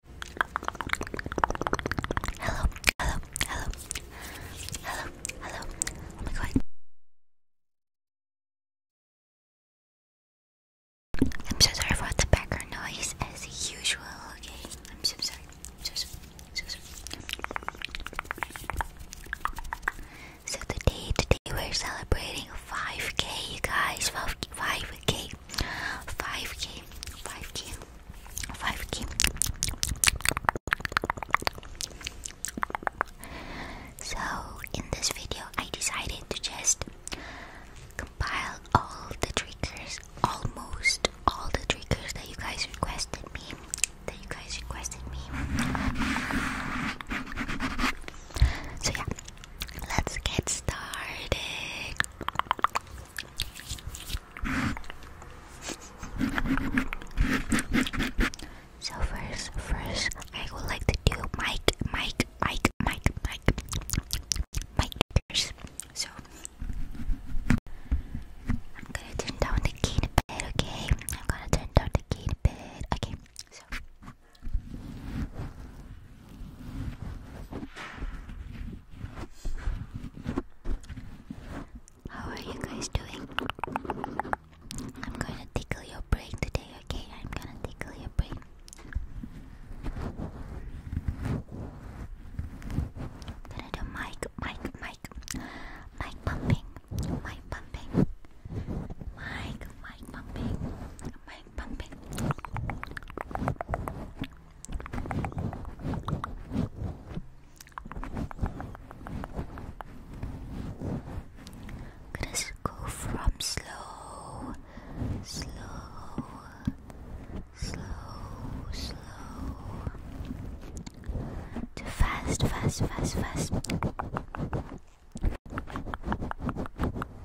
Hello, hello, hello, hello, hello. Oh my god. I'm so sorry for the background noise as usual, okay? I'm so sorry. So sorry. So today, today we're celebrating 5k you guys, 5k, 5k 5k, 5k, So in this video, I decided to just compile all the triggers, almost all the triggers that you guys requested me, that you guys requested me. So yeah, let's get started. So first, first, I would like to do mic, mic, mic, mic, mic, mic first. So I'm gonna turn down the key in the bed, okay? I'm gonna turn down the key in the bed, okay? So. How are you guys doing? I'm gonna tickle your brain today, okay? I'm gonna tickle your brain. I'm gonna do mic, mic, mic, mic pumping, mic pumping, mic, mic pumping, mic bang, bang, bang. Let's go from slow, slow, slow, slow to fast, fast, fast, fast.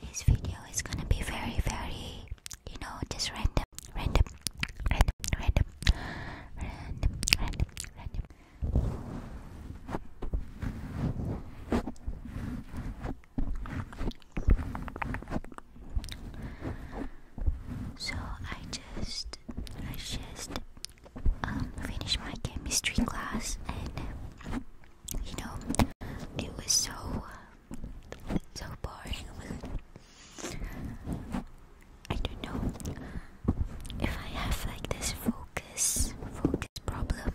this video is gonna be very, very, you know, just random, random, random, random, random, random, random. So I just I just um, finished my chemistry class and you know it was so so boring. I don't know if I have like this focus focus problem.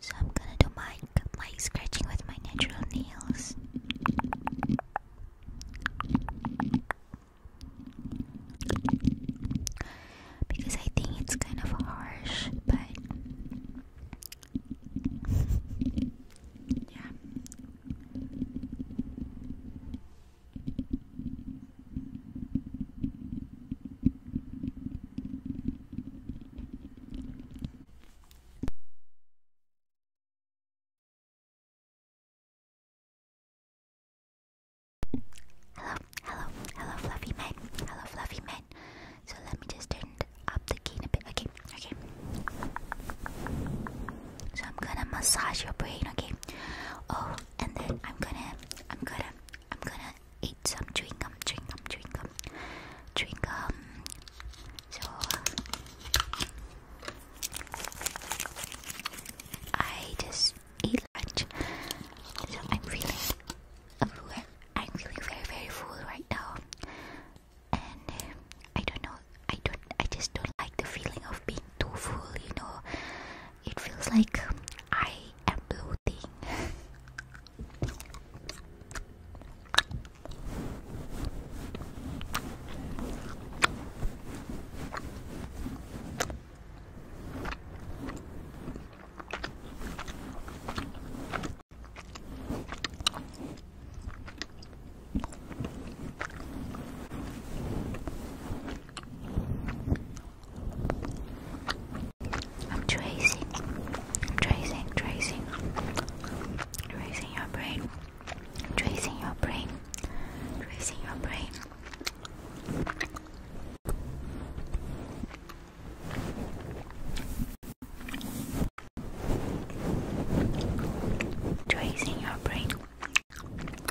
So I'm gonna do my my scratching with my natural nails. Because I think it's kind of harsh, but yeah. Hello, hello, hello, fluffy man. Hello, fluffy man. So let me just turn up the gain a bit. Okay, okay. So I'm gonna massage your brain, okay? Oh, and then I'm gonna, I'm gonna, I'm gonna ate some chewing gum, chewing gum, chewing gum, chewing gum. So I just ate lunch. So I'm feeling, I'm feeling very, very full right now, and I don't know. I don't. I just don't like the feeling of being too full. You know, it feels like I am bloating. I'm tracing, tracing, tracing, tracing your brain, tracing your brain, tracing your brain. Tracing your brain,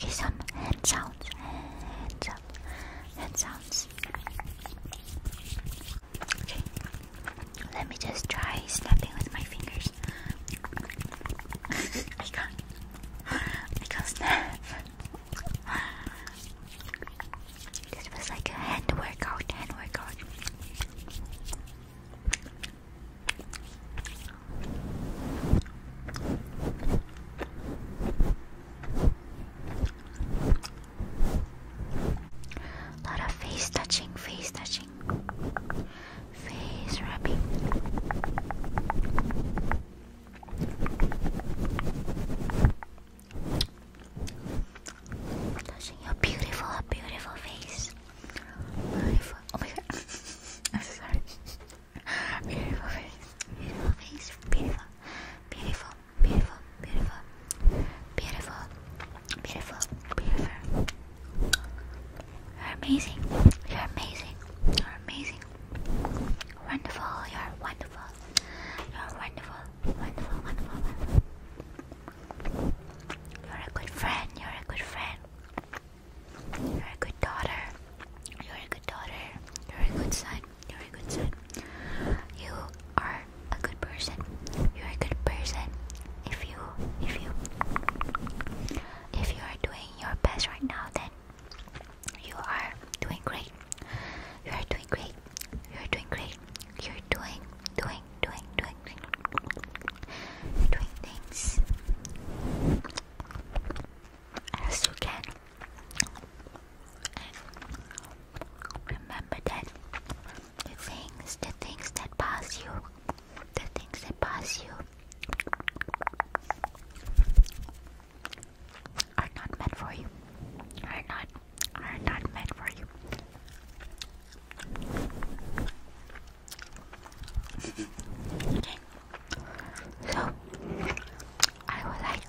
Okay, some hand sounds, hand sounds, hand sounds. Okay, let me just try snapping with my fingers. I can't. I can't snap. This was like a hand workout, hand workout. lot of face touching, face touching face rubbing. Touching your beautiful, beautiful face. Beautiful. Oh my god. I'm sorry. Beautiful face. Beautiful face. Beautiful. Beautiful. Beautiful. Beautiful. Beautiful. Beautiful. You're amazing. You're amazing. You're amazing. Wonderful. You're wonderful. You're wonderful. Wonderful. Wonderful. wonderful. You're a good friend. You're a good friend. You're a good daughter. You're a good daughter. You're a good son. You're a good son. You are a good person. You're a good person. If you, if you, if you are doing your best right now, then you are doing great. You are doing great. You are doing great. You're doing, doing, doing, doing, doing, things as you can. remember that the things, the things that pass you, the things that pass you, are not meant for you. Are not are not meant for you. okay. So I would like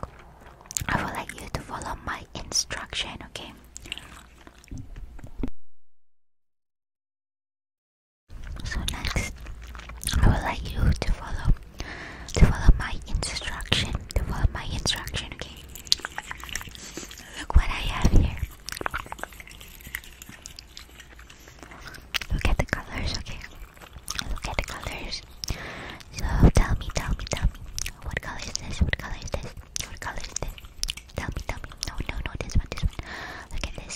I would like you to follow my instruction, okay? So next, I would like you to follow, to follow my instruction, to follow my instruction. Okay. Look what I have here. Look at the colors. Okay. Look at the colors. So tell me, tell me, tell me. What color is this? What color is this? What color is this? Tell me, tell me. No, no, no. This one, this one. Look at this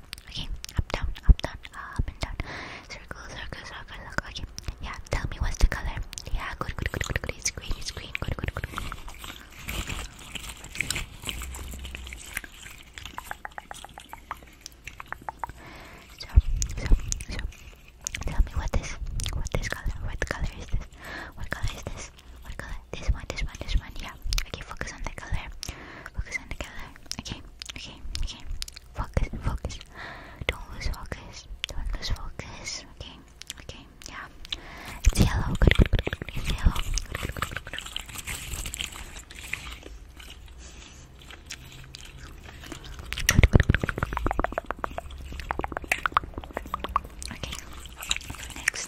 okay, okay, up, down, up, down, up and down, circle, circle, circle, circle, okay, yeah, tell me what's the color, yeah, good, good, good, good, good, it's green, it's green, good, good, good, good. So, so, so, tell me what this, what this color, what color is this, what color is this, what color, this one, this one, this one, yeah. Okay, focus on the color. Focus on the color. Okay, okay, okay. Focus, focus. Don't lose focus. Don't lose focus. Okay, okay, yeah. It's yellow. Good, good, good, good. It's Okay, next.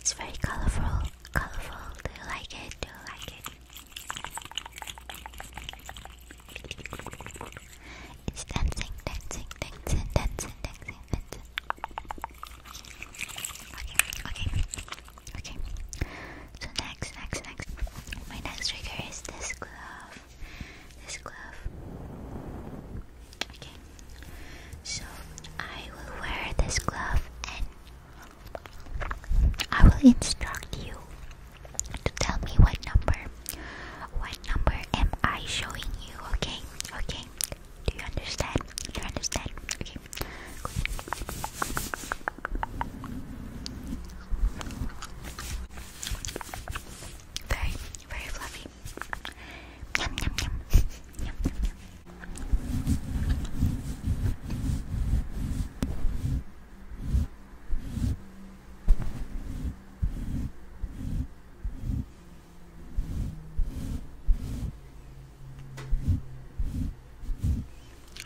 It's very colorful colorful. Do you like it? Do you like it? It's dancing, dancing, dancing, dancing, dancing, dancing. Okay, okay, okay. So next, next, next. My next trigger is this glove. This glove. Okay. So I will wear this glove and I will instruct you to tell me what number. What number am I showing you? Okay, okay. Do you understand? Do you understand? Okay. Very, very fluffy.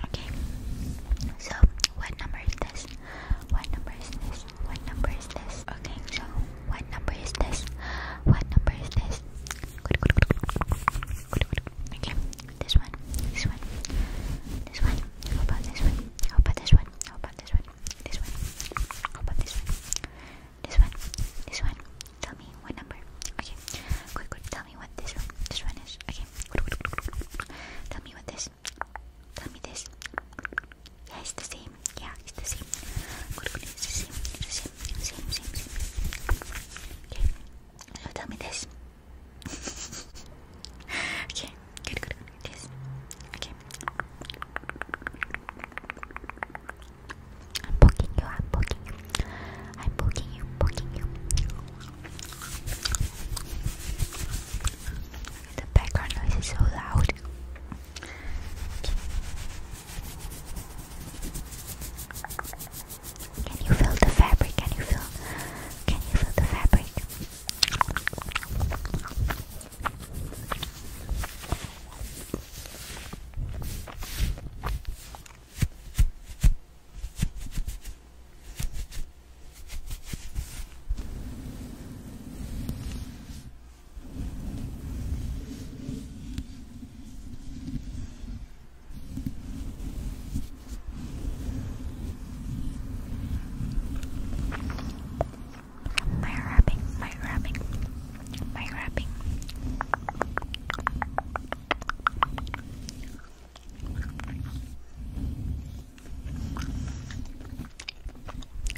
Okay. So, what number is this? What number is this? What number is this? Okay, so what number is this? What number is this? Okay, this one, this one, this one. How about this one? How about this one? How about this one? This one. How about this one? This one. This one. Tell me what number. Okay. Quick, quick. Tell me what this one. This one is. Okay. Tell me what this. Tell me this. Yeah, it's the same. Yeah, it's the same. Good, good. It's the same. It's the same. Same, same, same. Okay. So tell me this. okay. Good, good, good. Okay. I'm poking you. I'm poking you. I'm poking you. Poking you. The background noise is so loud. Can you feel the fabric? Can you feel? Can you feel the fabric? My wrapping, my wrapping, my wrapping.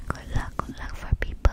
Good luck, good luck for people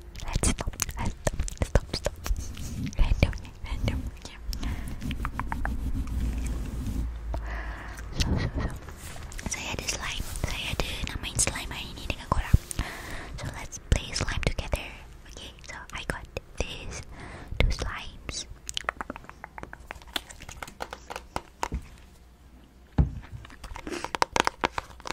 Let's stop. Let's stop. Let's stop. Stop. Randomly. Randomly. So, so, so. Saya ada slime. Saya ada namain slime hari ni dengan korang. So let's play slime together. Okay. So I got these two slimes.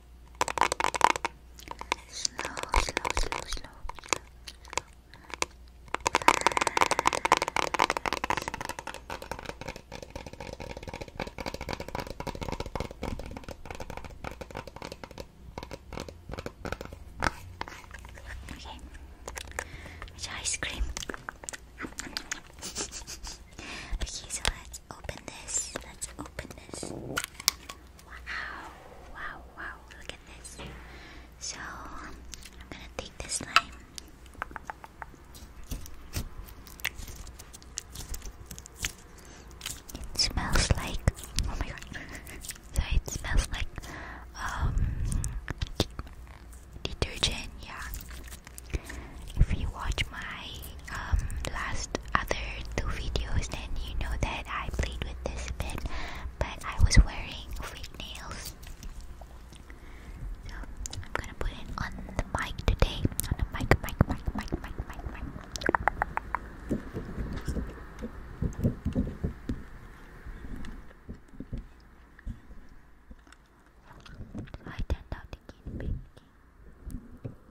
slow, slow, slow, slow. Okay, which ice cream? okay, so let's open this. Let's open this. Wow, wow, wow, look at this. So, I'm gonna take this slime. It smells like oh my god. so it smells like um detergent, yeah. If you watch my um last other two videos, then you know that I played with this bit, but I was wearing fake nails. So I'm gonna put it on the mic today. On the mic, mic, mic, mic, mic, mic, mic. I turned out the kid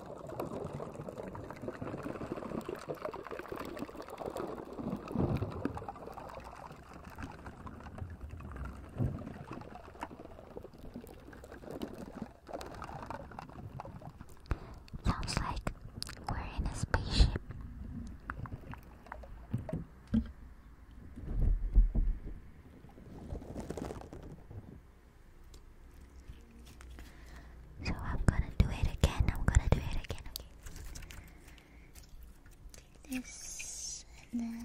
Sounds like we're in a spaceship. So I'm gonna do it again. I'm gonna do it again. this and then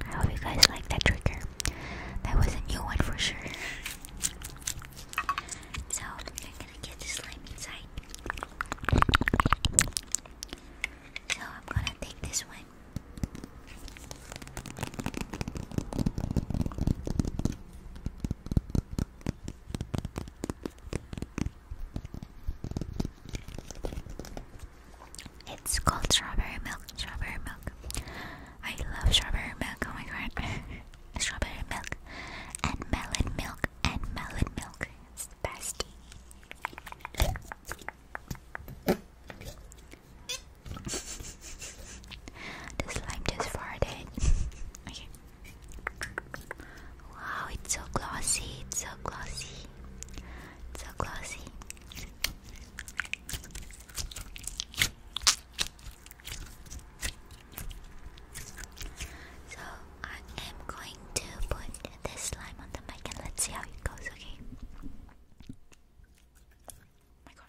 I hope you guys like that trigger. That was a new one for sure. So I'm gonna get the slime inside. So I'm gonna take this one. It's called strawberry milk, strawberry milk. I love strawberry milk, oh my god. strawberry milk and melon milk and melon milk. It's the best the slime just farted. okay. Wow, it's so glossy. It's so glossy. It's so glossy. So I am going to put this slime on the mic and let's see how it goes, okay? my god.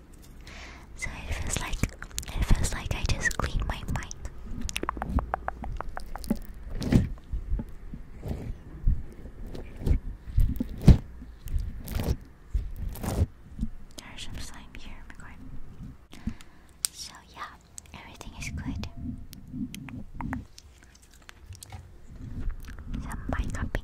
So it feels like it feels like I just cleaned my mind. There's some slime here, So yeah, everything is good. Some mic cupping,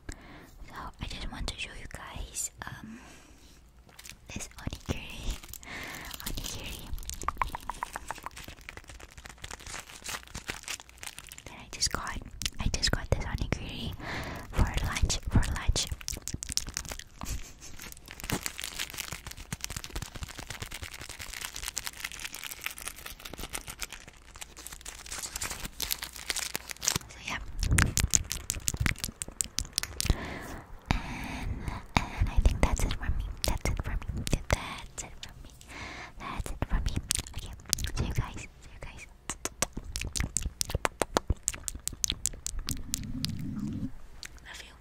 So I just want to show you guys um this onigiri, onigiri. That I just got. I just got this onigiri for lunch. For lunch. So yeah. And and I think that's it for me. That's it for me. That's it for me. That's it for me. Okay. See you guys. you guys. Love you.